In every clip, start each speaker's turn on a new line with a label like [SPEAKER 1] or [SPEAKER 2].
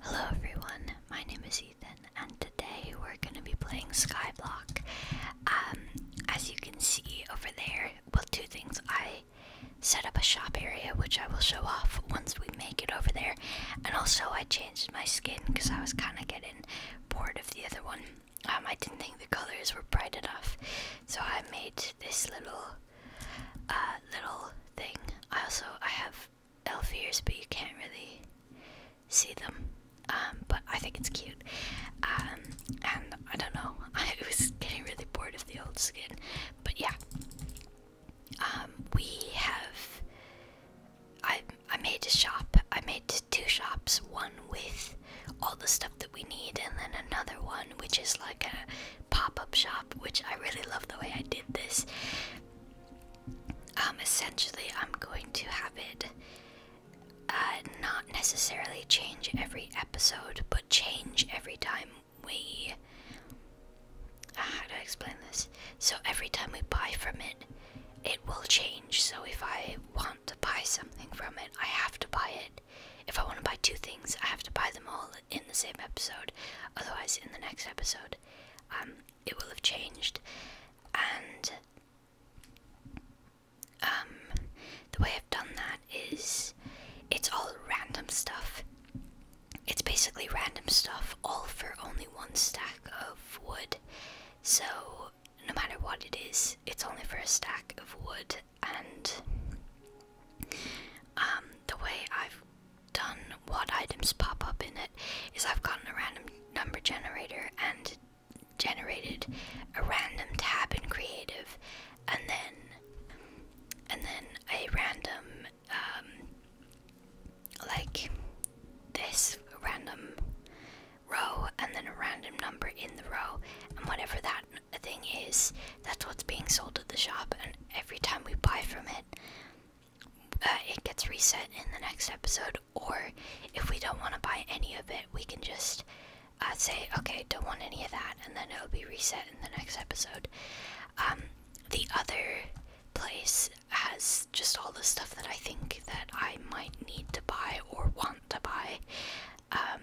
[SPEAKER 1] Hello everyone, my name is Ethan and today we're going to be playing Skyblock. Um, as you can see over there, well two things. I set up a shop area which I will show off once we make it over there and also I changed my skin because I was kind of getting bored of the other one. Um, I didn't think the colors were bright enough so I made this little uh, little thing. I also I have elf ears, but you can't really see them. Um, but I think it's cute. Um, and I don't know. I was getting really bored of the old skin, but yeah. Um, we have. I I made a shop. I made two shops. One with all the stuff that we need, and then another one which is like a pop up shop, which I really love the way I did this. Um, essentially, I'm going to have it uh, not necessarily change every episode, but change every time we. Uh, how do I explain this? So, every time we buy from it, it will change. So, if I want to buy something from it, I have to buy it if I want to buy two things, I have to buy them all in the same episode. Otherwise, in the next episode, um, it will have changed. And um, the way I've done that is it's all random stuff. It's basically random stuff, all for only one stack of wood. So, no matter what it is, it's only for a stack of wood, and um, the way I've done what items pop up in it is I've gotten a random number generator and generated a random tab in creative and then and then a random um, like this random row and then a random number in the row and whatever that the thing is, that's what's being sold at the shop, and every time we buy from it, uh, it gets reset in the next episode. Or if we don't want to buy any of it, we can just uh, say, okay, don't want any of that, and then it'll be reset in the next episode. Um, the other place has just all the stuff that I think that I might need to buy or want to buy. Um,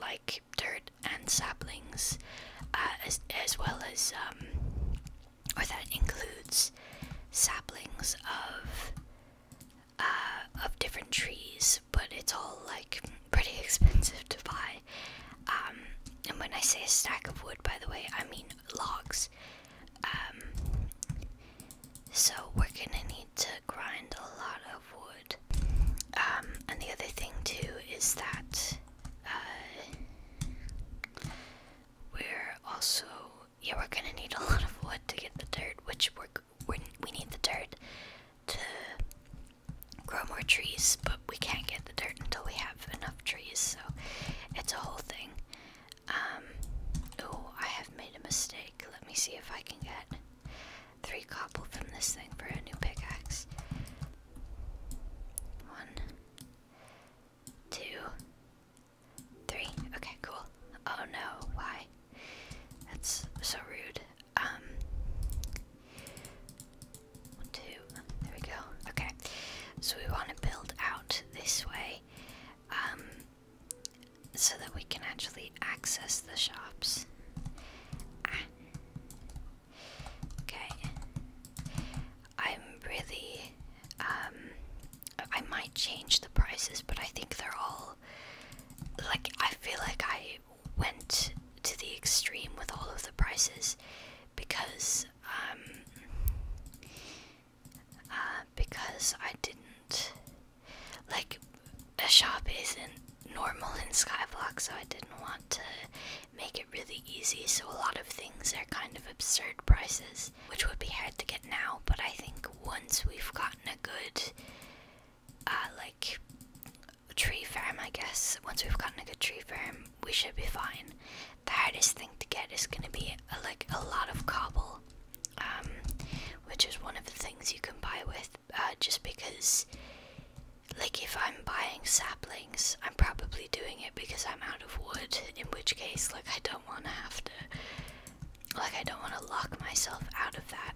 [SPEAKER 1] like cheap dirt and saplings, uh, as, as well as, um, or that includes saplings of, uh, of different trees, but it's all like pretty expensive to buy. Um, and when I say a stack of wood, by the way, I mean logs. Um, so we're gonna need to grind a lot of wood. Um, and the other thing too is that uh, we're also yeah we're gonna need a lot of wood to get the dirt, which we're, we we need the dirt to grow more trees, but we can't get the dirt until we have enough trees. So it's a whole thing. Um, oh, I have made a mistake. Let me see if I can get Three cobble from this thing for a new pickaxe. One, two, three. Okay, cool. Oh no, why? That's so rude. Um, one, two. There we go. Okay, so we want to build out this way, um, so that we can actually access the shops. Ah. Okay. I'm really. Um, I might change the prices, but I think they're all. Like, I feel like I went to the extreme with all of the prices because. Um, uh, because I didn't like a shop isn't normal in Skyblock, so I didn't want to make it really easy. So a lot of things are kind of absurd prices, which would be hard to get now. But I think once we've gotten a good, uh, like tree farm, I guess once we've gotten a good tree farm, we should be fine. The hardest thing to get is gonna be a, uh, like a lot of cobble, um, which is one of the things you can buy with uh, just because, like, if I'm buying saplings, I'm probably doing it because I'm out of wood, in which case, like, I don't want to have to, like, I don't want to lock myself out of that,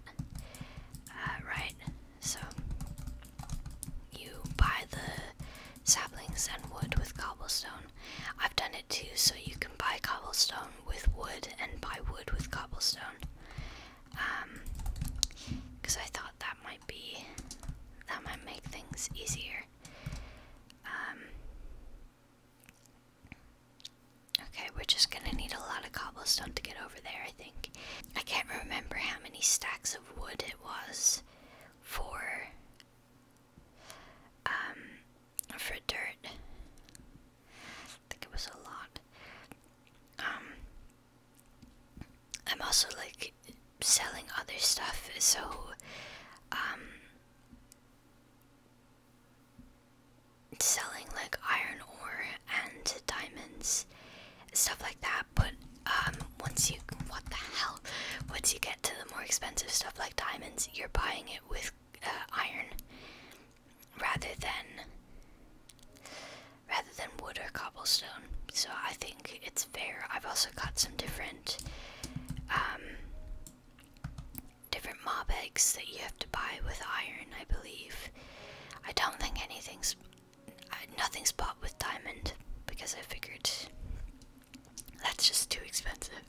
[SPEAKER 1] uh, right? So, you buy the saplings and wood with cobblestone. I've done it too, so you can buy cobblestone with wood and buy wood with cobblestone. Um, because I thought that might be that might make things easier. Um, okay, we're just gonna need a lot of cobblestone to get over there. I think I can't remember how many stacks of wood it was for um for dirt. I think it was a lot. Um, I'm also like selling other stuff, so um, selling like iron ore and diamonds, stuff like that. But um, once you what the hell? Once you get to the more expensive stuff like diamonds, you're buying it with uh, iron rather than rather than wood or cobblestone. So I think it's fair. I've also got some different um, different mob eggs that you have to buy with iron, I believe. I don't think anything's uh, nothing's bought with diamond because I figured that's just too expensive.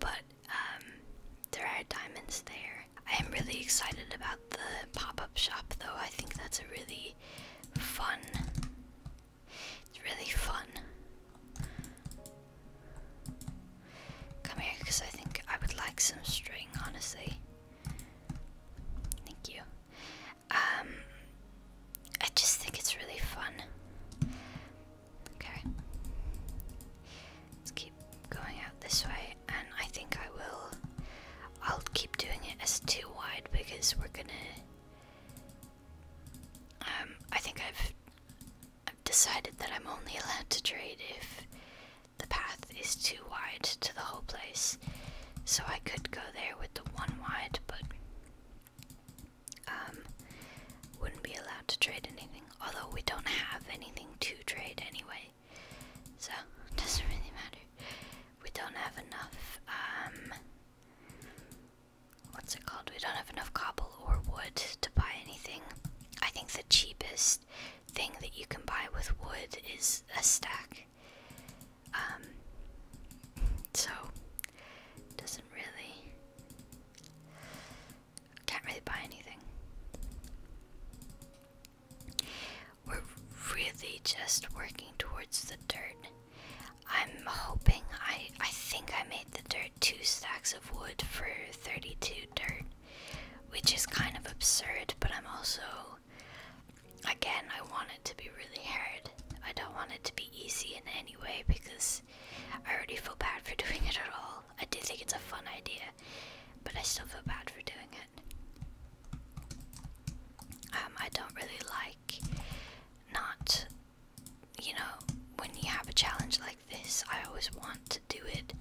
[SPEAKER 1] But um, there are diamonds there. I am really excited about the pop up shop, though. I think that's a really fun. It's really fun. Come here, because I think I would like some string, honestly. Thank you. Um, I just think it's really fun. Okay. Let's keep going out this way and I think I will. I'll keep doing it as too wide because we're gonna. Um, I think I've, decided that I'm only allowed to trade if the path is too wide to the whole place. So I could go there with the one wide, but um, wouldn't be allowed to trade anything. Although we don't have anything to trade anyway, anyway. So, doesn't really matter. We don't have enough, um, what's it called? We don't have enough cobble or wood to buy anything. I think the cheapest thing that you can buy with wood is a stack. Um, so, doesn't really, can't really buy anything. We're really just working towards the dirt. I'm hoping I I think I made the dirt two stacks of wood for 32 dirt, which is kind of absurd, but I'm also again I want it to be really hard. I don't want it to be easy in any way because I already feel bad for doing it at all. I do think it's a fun idea but I still feel bad for doing it. Um, I don't really like not, you know, when you have a challenge like this, I always want to do it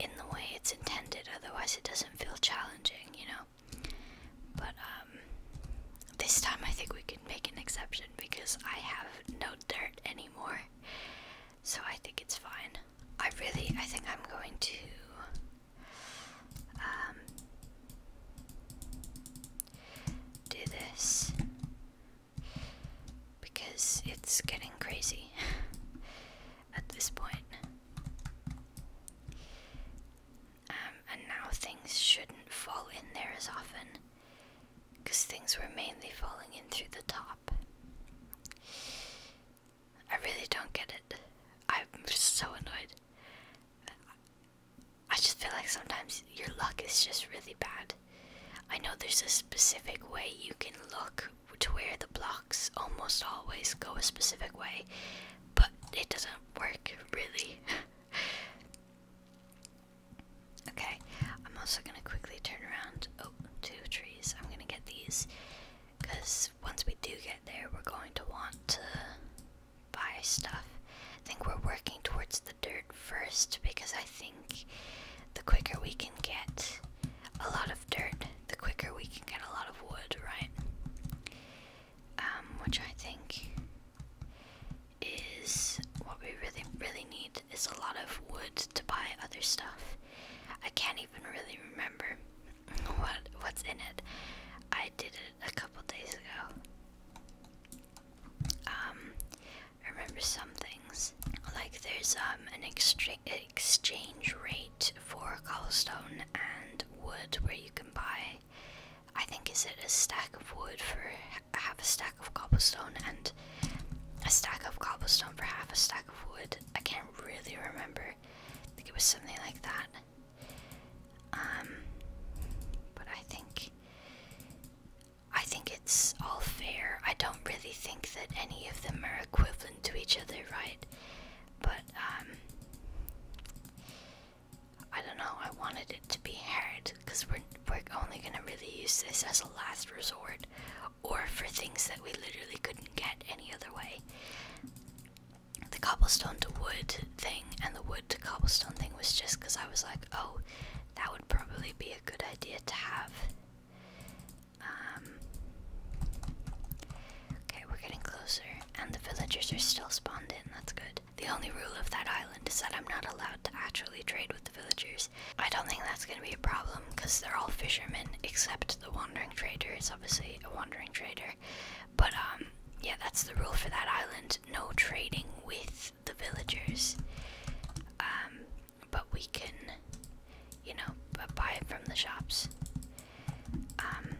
[SPEAKER 1] in the way it's intended, otherwise, it doesn't feel challenging, you know. But, um, this time I think we can make an exception because I have no dirt anymore so I think it's fine. I really, I think I'm going to. Um, do this because it's getting crazy at this point. Um, and now things shouldn't fall in there as often because things were mainly falling in through the top. I really don't get it. I'm so annoyed. I just feel like sometimes your luck is just really bad. I know there's a specific way you can look to where the blocks almost always go a specific way, but it doesn't work really. okay, I'm also gonna quickly turn around. Oh, two trees. I'm gonna get these. Because once we do get there, we're going to want to buy stuff. I think we're working towards the dirt first because I think the quicker we can get a lot of dirt, the quicker we can get a lot of wood, right? Um, which I think is what we really, really need is a lot of wood to buy other stuff. I can't even really remember what what's in it. I did it a couple days ago. Um, I remember some things like there's um an extra exchange rate for cobblestone and wood where you can buy. I think is it a stack of wood for half a stack of cobblestone and a stack of cobblestone for half a stack of wood. I can't really remember. I think it was something like that. Um, but I think I think it's all fair. I don't really think that any of them are equivalent to each other, right? But um, I don't know. I wanted it to be heard because we're we're only gonna really use this as a last resort, or for things that we literally couldn't get any other way. The cobblestone to wood thing and the wood to cobblestone thing was just because I was like, oh, that would probably be a good idea to have. Um, okay, we're getting closer, and the villagers are still spawned in. That's good. The only rule of that island is that I'm not allowed to actually trade with the villagers. I don't think that's gonna be a problem because they're all fishermen except the wandering trader it's obviously a wandering trader. But um yeah, that's the rule for that island. No trading with the villagers. Um but we can you know buy it from the shops. Um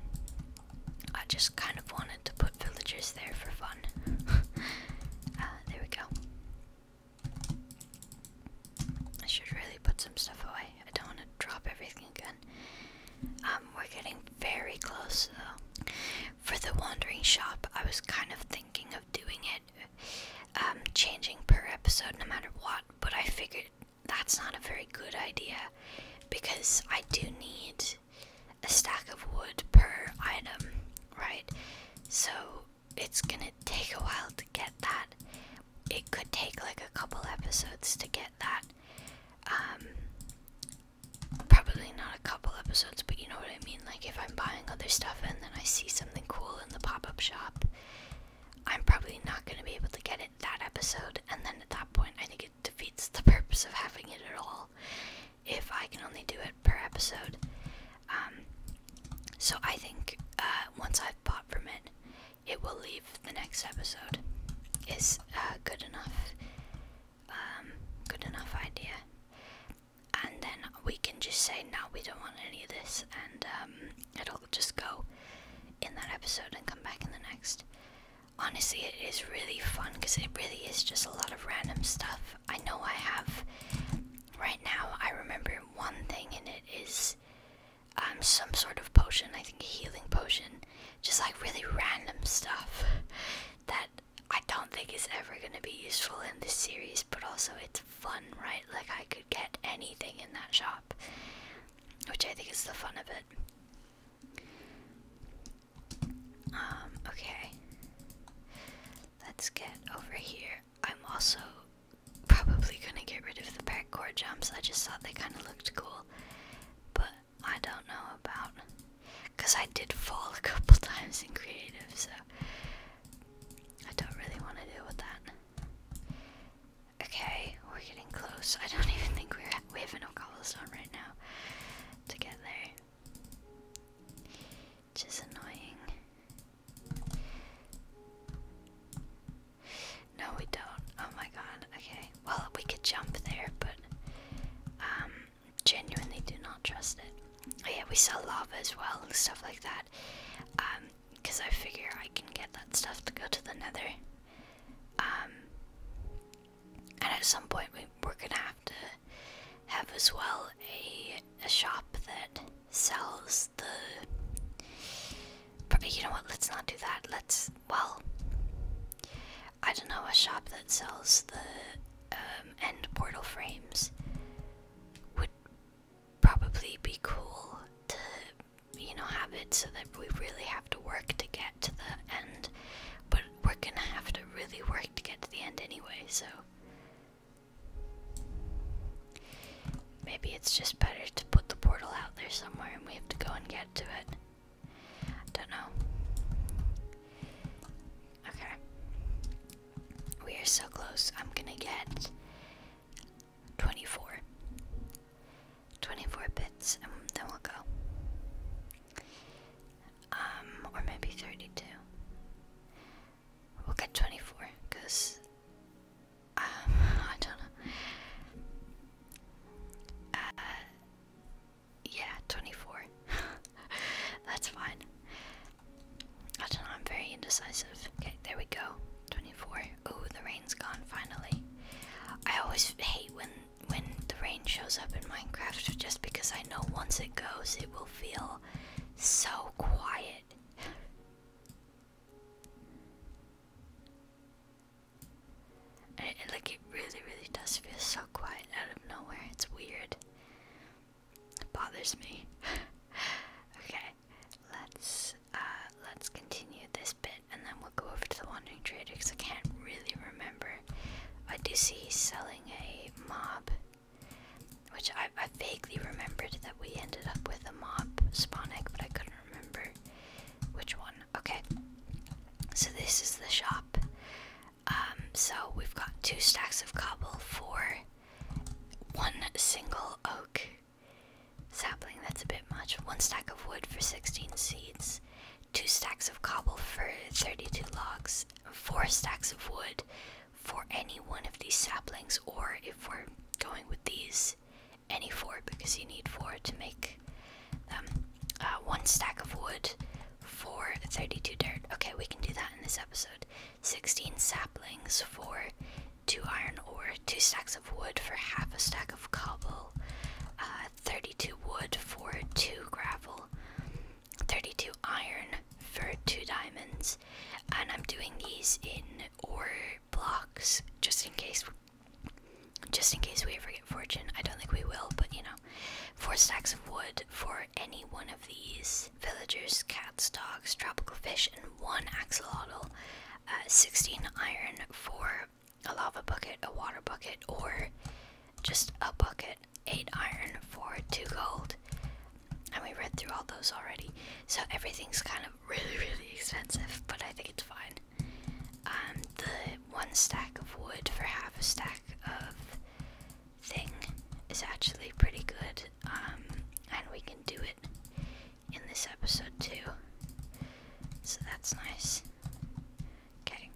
[SPEAKER 1] I just kind of wanted to put villagers there for fun. Uh, there we go. I should really put some stuff away. I don't want to drop everything again. Um, we're getting very close though. For the wandering shop, I was kind of thinking of doing it, um, changing per episode no matter what, but I figured that's not a very good idea because I do need a stack of wood per item, right? So it's gonna take a while to get that it could take like a couple episodes to get that. Um, probably not a couple episodes, but you know what I mean? Like, if I'm buying other stuff and then I see something cool in the pop up shop, I'm probably not going to be able to get it that episode. And then at that point, I think it defeats the purpose of having it at all if I can only do it per episode. Um, so I think uh, once I've bought from it, it will leave the next episode. Is good enough, um, good enough idea. And then we can just say now we don't want any of this, and um, it'll just go in that episode and come back in the next. Honestly, it is really fun because it really is just a lot of random stuff. I know I have right now. I remember one thing, in it is um, some sort of potion, I think a healing potion, just like really random stuff that I don't think is ever going to be useful in this series, but also it's fun, right? Like I could get anything in that shop, which I think is the fun of it. Um, okay. Let's get over here. I'm also probably gonna get rid of the parkour jumps. I just thought they kind of looked cool, but I don't know about because I did fall a couple times in creative, so I don't really want to deal with that. Okay, we're getting close. I don't even think we're at, we have enough cobblestone right now to get there. Which is annoying. No, we don't. Oh my god. Okay. Well, we could jump there, but um, genuinely do not trust it. Oh, yeah, we sell lava as well, stuff like that. Um, because I figure I can get that stuff to go to the nether. Um, and at some point we're gonna have to have as well a a shop that sells the. Probably, You know what? Let's not do that. Let's. Well. I don't know a shop that sells the um, end portal frames would probably be cool to you know have it so that we really have to work to get to the end but we're gonna have to really work to get to the end anyway so Maybe it's just better to put the portal out there somewhere and we have to go and get to it. I don't know. Okay. We are so close. I'm gonna get 24. 24 bits and then we'll go. Um, or maybe 32. We'll get 24 because um, I don't know. Uh, yeah, 24. That's fine. I don't know, I'm very indecisive. Okay, there we go. 24. Oh, the rain's gone finally. I always hate when when the rain shows up in Minecraft just because I know once it goes it will feel so quiet like it really, really does feel so quiet out of nowhere. It's weird. It bothers me. okay, let's uh, let's continue this bit, and then we'll go over to the wandering trader because I can't really remember. I do see selling a mob, which I I vaguely remembered that we ended up with a mob spawnic, but I couldn't remember which one. Okay, so this is the shop. Um, so we've got two stacks of cobble for one single oak sapling, that's a bit much. One stack of wood for 16 seeds, two stacks of cobble for 32 logs, four stacks of wood for any one of these saplings, or if we're going with these, any four because you need four to make um, uh, one stack of wood for 32 dirt. Okay, we can do that in this episode. 16 saplings for two iron ore, two stacks of wood for half a stack of cobble, uh, 32 wood for two gravel, 32 iron for two diamonds, and I'm doing these in ore blocks just in case just in case we ever get fortune. I don't think we will, but you know. Four stacks of wood for any one of these villagers, cats, dogs, tropical fish, and one axolotl. Uh, 16 iron for a lava bucket, a water bucket, or just a bucket. 8 iron for 2 gold. And we read through all those already. So everything's kind of really, really expensive, but I think it's fine. Um, the one stack of wood for half a stack of thing is actually pretty good, um, and we can do it in this episode too. So that's nice. Okay.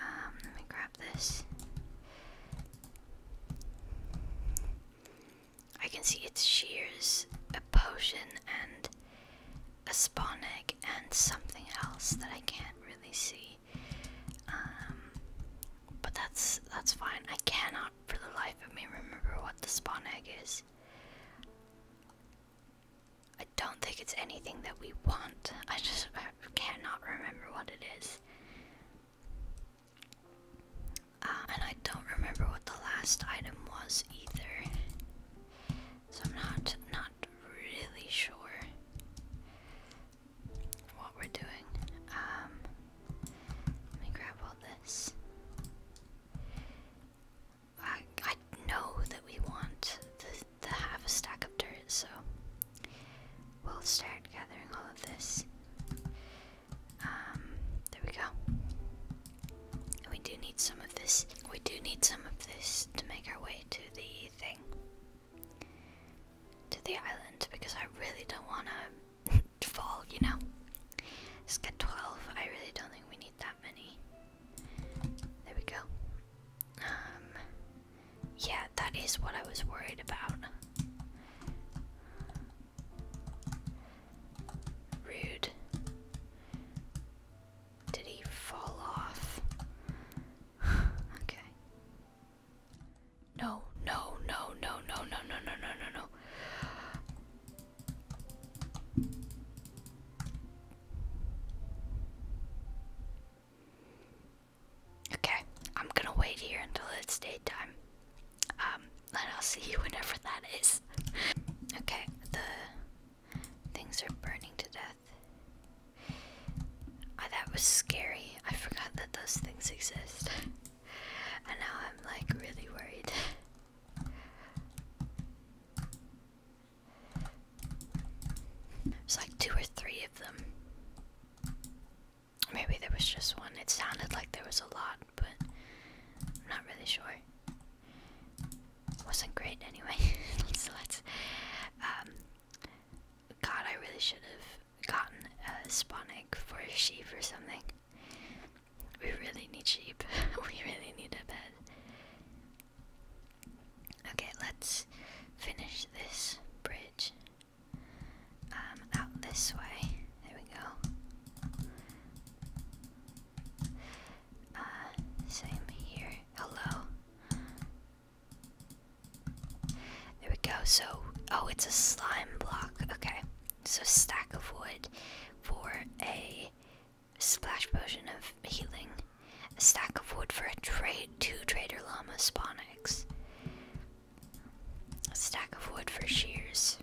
[SPEAKER 1] Um, let me grab this. I can see it's shears, a potion, and a spawn egg, and something else that I can't really see. Um, but that's that's fine. I cannot, for the life of me, remember what the spawn egg is. I don't think it's anything that we want. I just cannot remember what it is. Uh, and I don't remember what the last item was either. So I'm not not really sure what we're doing. Um, let me grab all this. I I know that we want the the half a stack of dirt, so we'll start gathering all of this. Um, there we go. We do need some of this. We do need some of this to make our way to the thing, to the island, because I really don't want to fall, you know. Let's get 12. I really don't think we need that many. There we go. Um, yeah, that is what I was worried about. Rude. Did he fall off? okay. No, no, no, no, no, no, no, no, no, no, Okay, I'm gonna wait here until it's daytime. Um, and I'll see you whenever that is. Okay, the things are burning to death. Ah, that was scary. I forgot that those things exist. and now I'm like really worried. It's like two or three of them. Maybe there was just one. It sounded like there was a lot, but I'm not really sure. It wasn't great anyway. so let's. Um, God, I really should have gotten a spawn for a sheep or something. We really need sheep. we really need a bed. Okay, let's finish this bridge. Um, out this way. There we go. Uh, same here. Hello. There we go. So, oh, it's a slime block. Okay. So, stack of wood for a splash potion of healing. A stack of wood for a trade two trader llama spawnics. A stack of wood for shears.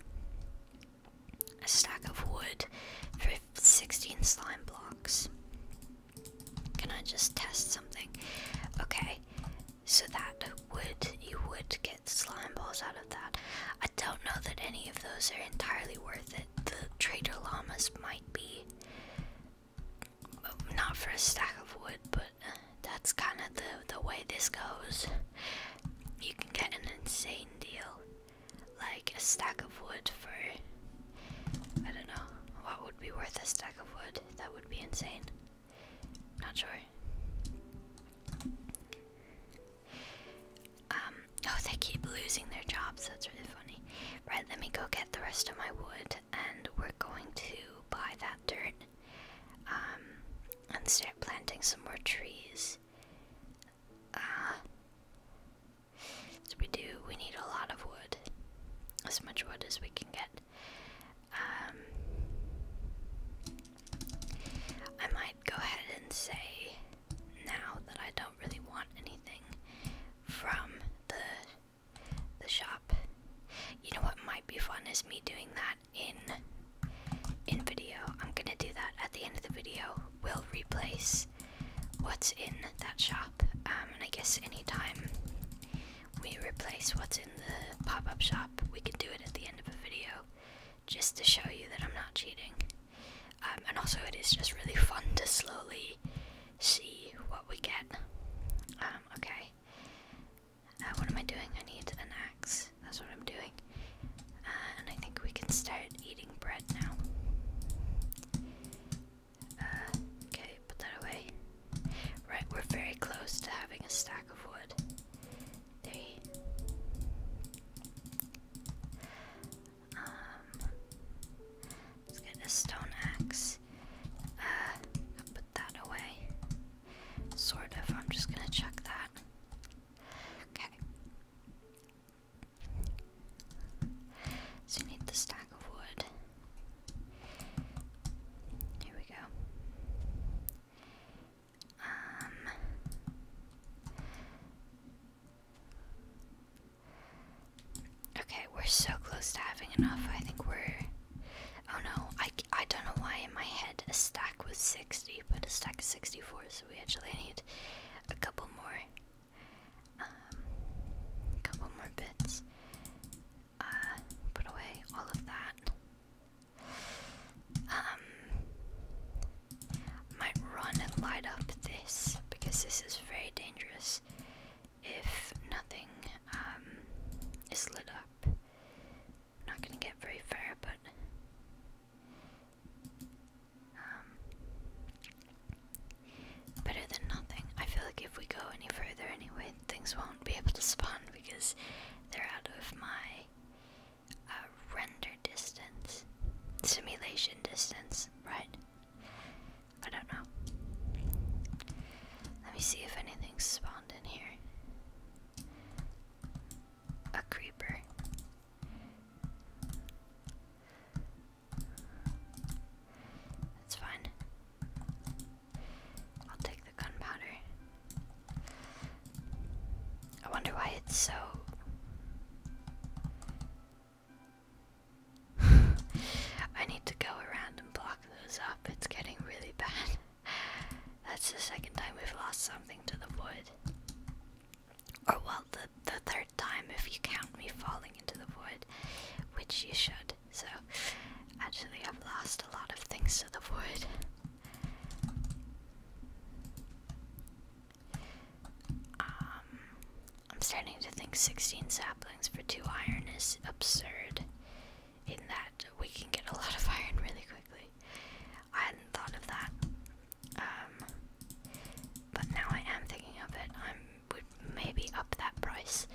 [SPEAKER 1] A stack of wood for 16 slime blocks. Can I just test something? Okay, so that would, you would get slime balls out of that. I don't know that any of those are entirely worth it. The Trader Llamas might be not for a stack of wood, but that's kind of the, the way this goes. You can get an insane deal. Like a stack of wood for, I don't know, what would be worth a stack of wood? That would be insane. Not sure. Um, oh, they keep losing their jobs. That's really funny. Right, let me go get the rest of my wood and we're going to buy that dirt um, and start planting some more trees. Uh, so we do, we need a lot of wood. As much wood as we can get. Um, I might go ahead and say now that I don't really want anything from the the shop. You know what might be fun is me doing that in in video. I'm gonna do that at the end of the video. We'll replace what's in that shop. Um, and I guess anytime we replace what's in the pop-up shop, we can do it at the end of a video, just to show you that I'm not cheating. Um, and also, it is just really fun to slowly see what we get. Um, okay. Uh, what am I doing? I need an axe. That's what I'm doing. Uh, and I think we can start eating bread now. Uh, okay, put that away. Right, we're very close to having a stack of wood. Three. Let's get a stone axe. Uh, put that away. Sort of. I'm just gonna check that. Okay. So you need the stack of wood. Here we go. Um. Okay, we're so close to having enough. I think we're. Oh no, I, I don't know why in my head a stack was 60, but a stack is 64, so we actually need a couple more. a um, couple more bits. Uh, put away all of that. Um, might run and light up this because this is very dangerous if nothing um, is lit up. not gonna get very far, but um, better than nothing. I feel like if we go any further, anyway, things won't be able to spawn because they're out of my uh, render distance, simulation distance, right? I don't know. Let me see if anything spawned in here. A creeper. That's fine. I'll take the gunpowder. I wonder why it's so I need to go around and block those up. It's getting really bad. That's the second time we've lost something to the wood. Or, well, the, the third time if you count me falling into the wood, which you should. So, actually, I've lost a lot of things to the wood. Um, I'm starting to think 16 saplings for 2 iron is absurd, in that we can get a lot of iron really quickly. I hadn't thought of that, um, but now I am thinking of it. I would maybe up that price.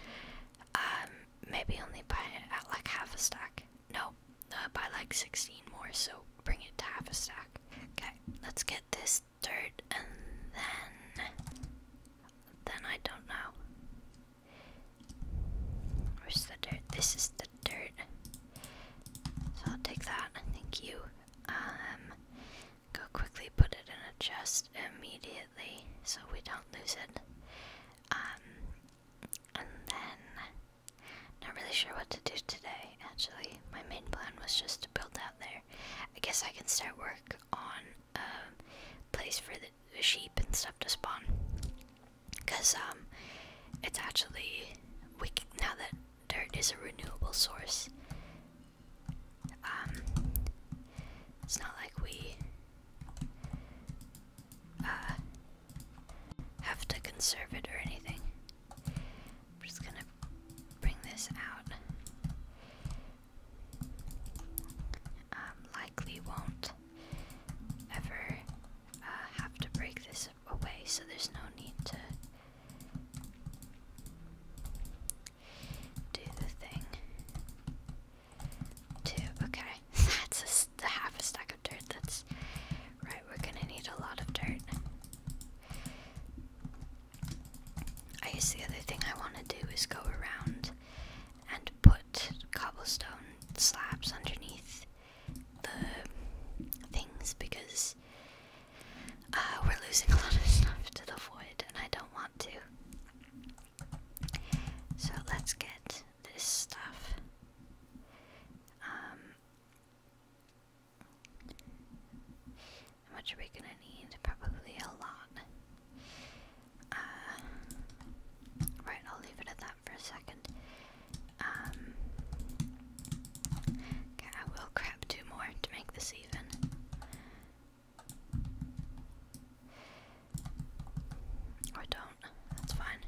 [SPEAKER 1] Um, maybe only buy it at like half a stack. No, uh, buy like 16 more, so bring it to half a stack. Okay, let's get this dirt and then then I don't know. Where's the dirt? This is the dirt. So I'll take that. Thank you. Um, go quickly put it in a chest immediately so we don't lose it. Um, and then, not really sure what to do today. Actually, my main plan was just to build out there. I guess I can start work on um, place for the sheep and stuff to spawn. Cause um, it's actually we now that dirt is a renewable source. Um, it's not like we uh, have to conserve it or anything. I'm just gonna bring this out. Um, likely won't ever uh, have to break this away, so there's no need to do the thing. Two. Okay, that's a half a stack of dirt. That's right. We're gonna need a lot of dirt. I guess the other thing I want to do is go around and put cobblestone slabs underneath the things because uh, we're losing a lot of stuff to the void and I don't want to. So let's get this stuff. Um, how much are we gonna need? Probably a lot. Uh, right, I'll leave it at that for a second. Um, okay, I will grab two more to make this even. Or don't. That's fine.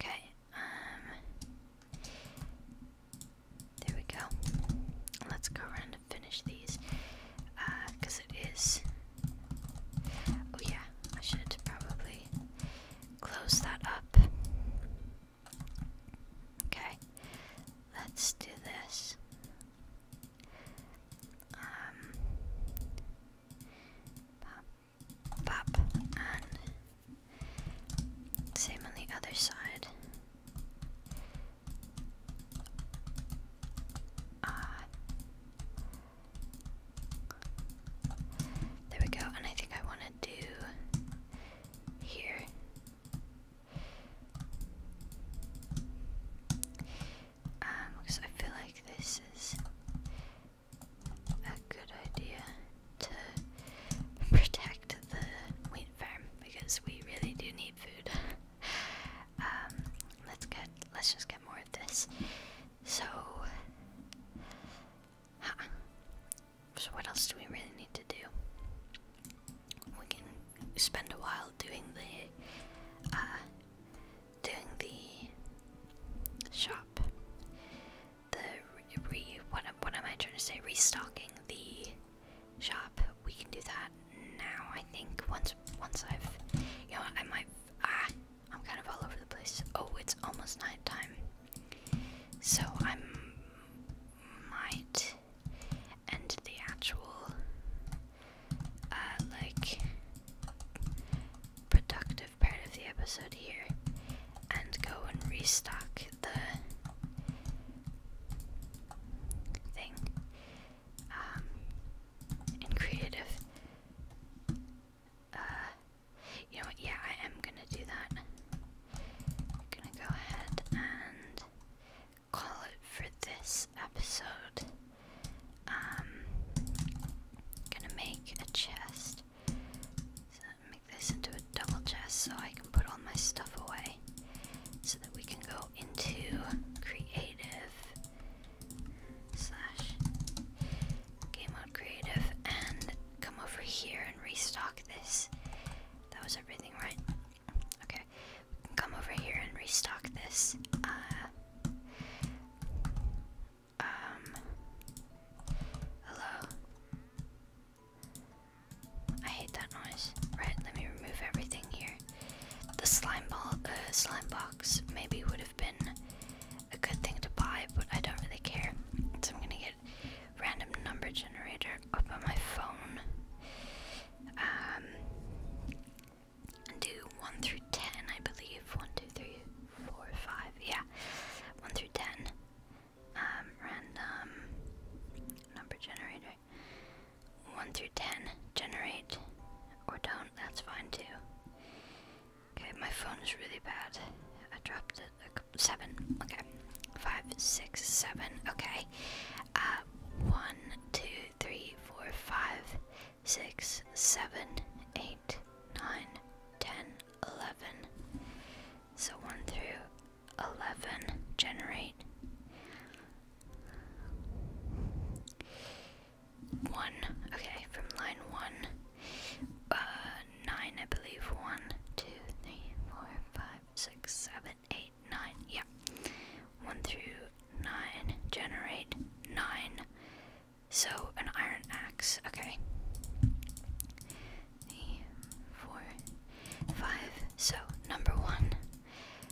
[SPEAKER 1] Okay, um, there we go. Let's go around finish these because uh, it is. Oh, yeah, I should probably close that up. Okay, let's do this. Um, pop, pop, and same on the other side. Uh, there we go, and I think I want to do here. because um, I feel like this is a good idea to protect the wheat farm because we really do need food um, let's get let's just get more of this. So, so what else do we really need to do? We can spend a while doing the uh, doing the shop. The re, re what, what am I trying to say? Restocking the shop. We can do that now. I think once once I've, you know, I might. Ah, I'm kind of all over the place. Oh, it's almost night time, so I might end the actual, uh, like productive part of the episode here and go and restock the thing um, and creative. Uh, you know Yeah, I am gonna do that. gonna go ahead and call it for this episode. Um, gonna make a chest. make this into a double chest so I can put all my stuff away so that we can go into creative slash game mode creative and come over here and restock this. That was everything, right? Okay, we can come over here and restock this. Uh, um, hello. I hate that noise. Right, let me remove everything here. The slime ball, uh, slime box maybe would have been a good thing to buy, but I don't really care. So I'm gonna get random number generator up on my phone. and um, do one through ten, I believe. One, two, three, four, five. Yeah, one through ten. Um, random number generator. 1 through 10. Generate. Or don't. That's fine too. Okay, my phone is really bad. I dropped it. Like, 7. Okay. 5, 6, 7. Okay. Uh, 1, 2, 3, 4, 5, 6, 7, 8, 9, 10, 11. So 1 through 11. Generate. One, okay, from line one, uh, nine, I believe. One, two, three, four, five, six, seven, eight, nine. Yeah, one through nine. Generate nine. So an iron axe. Okay. Three, four, five. So number one,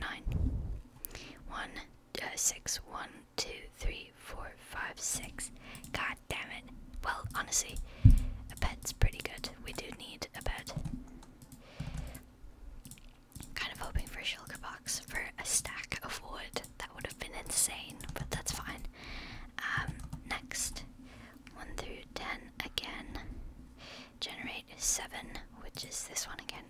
[SPEAKER 1] nine. One, uh, six, one, two, three, four, five, six. God damn it. Well, honestly, a bed's pretty good. We do need a bed. Kind of hoping for a shulker box for a stack of wood. That would have been insane, but that's fine. Um, next, 1 through 10 again. Generate 7, which is this one again.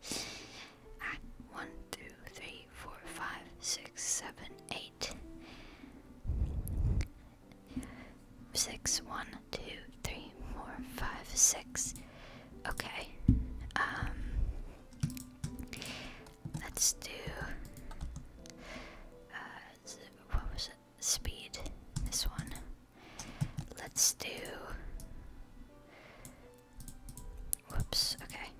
[SPEAKER 1] five. Ah, one, two, three, four, five, six, seven, eight. Six, one, two, three, four, five, six. Okay. Um let's do uh what was it? Speed. This one. Let's do. Whoops, okay.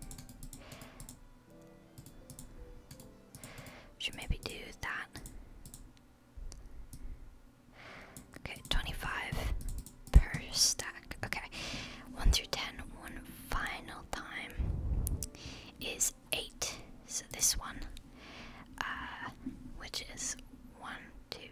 [SPEAKER 1] Should maybe do that. Okay, 25 per stack. Okay, 1 through 10, one final time is 8. So this one, uh, which is 1, 2,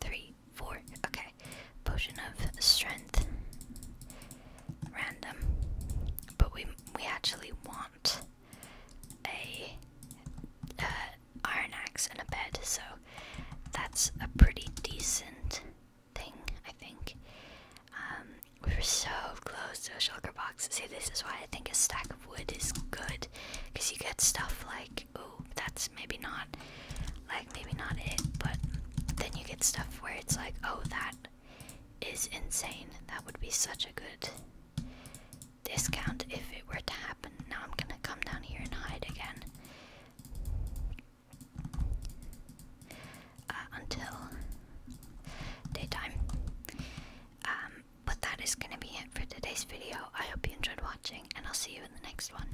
[SPEAKER 1] three, four. Okay. Potion of strength. Random. But we we actually want a uh, iron axe and a bed, so that's a pretty decent thing, I think. Um, we were so close to a shulker box. See, this is why I think a stack of wood is good, because you get stuff like Oh, that's maybe not, like, maybe not it, but then you get stuff where it's like, oh, that is insane. That would be such a good discount if it were to happen. Now I'm gonna come down here and hide again. Uh, until daytime. Um, but that is going to be it for today's video. I hope you enjoyed watching, and I'll see you in the next one.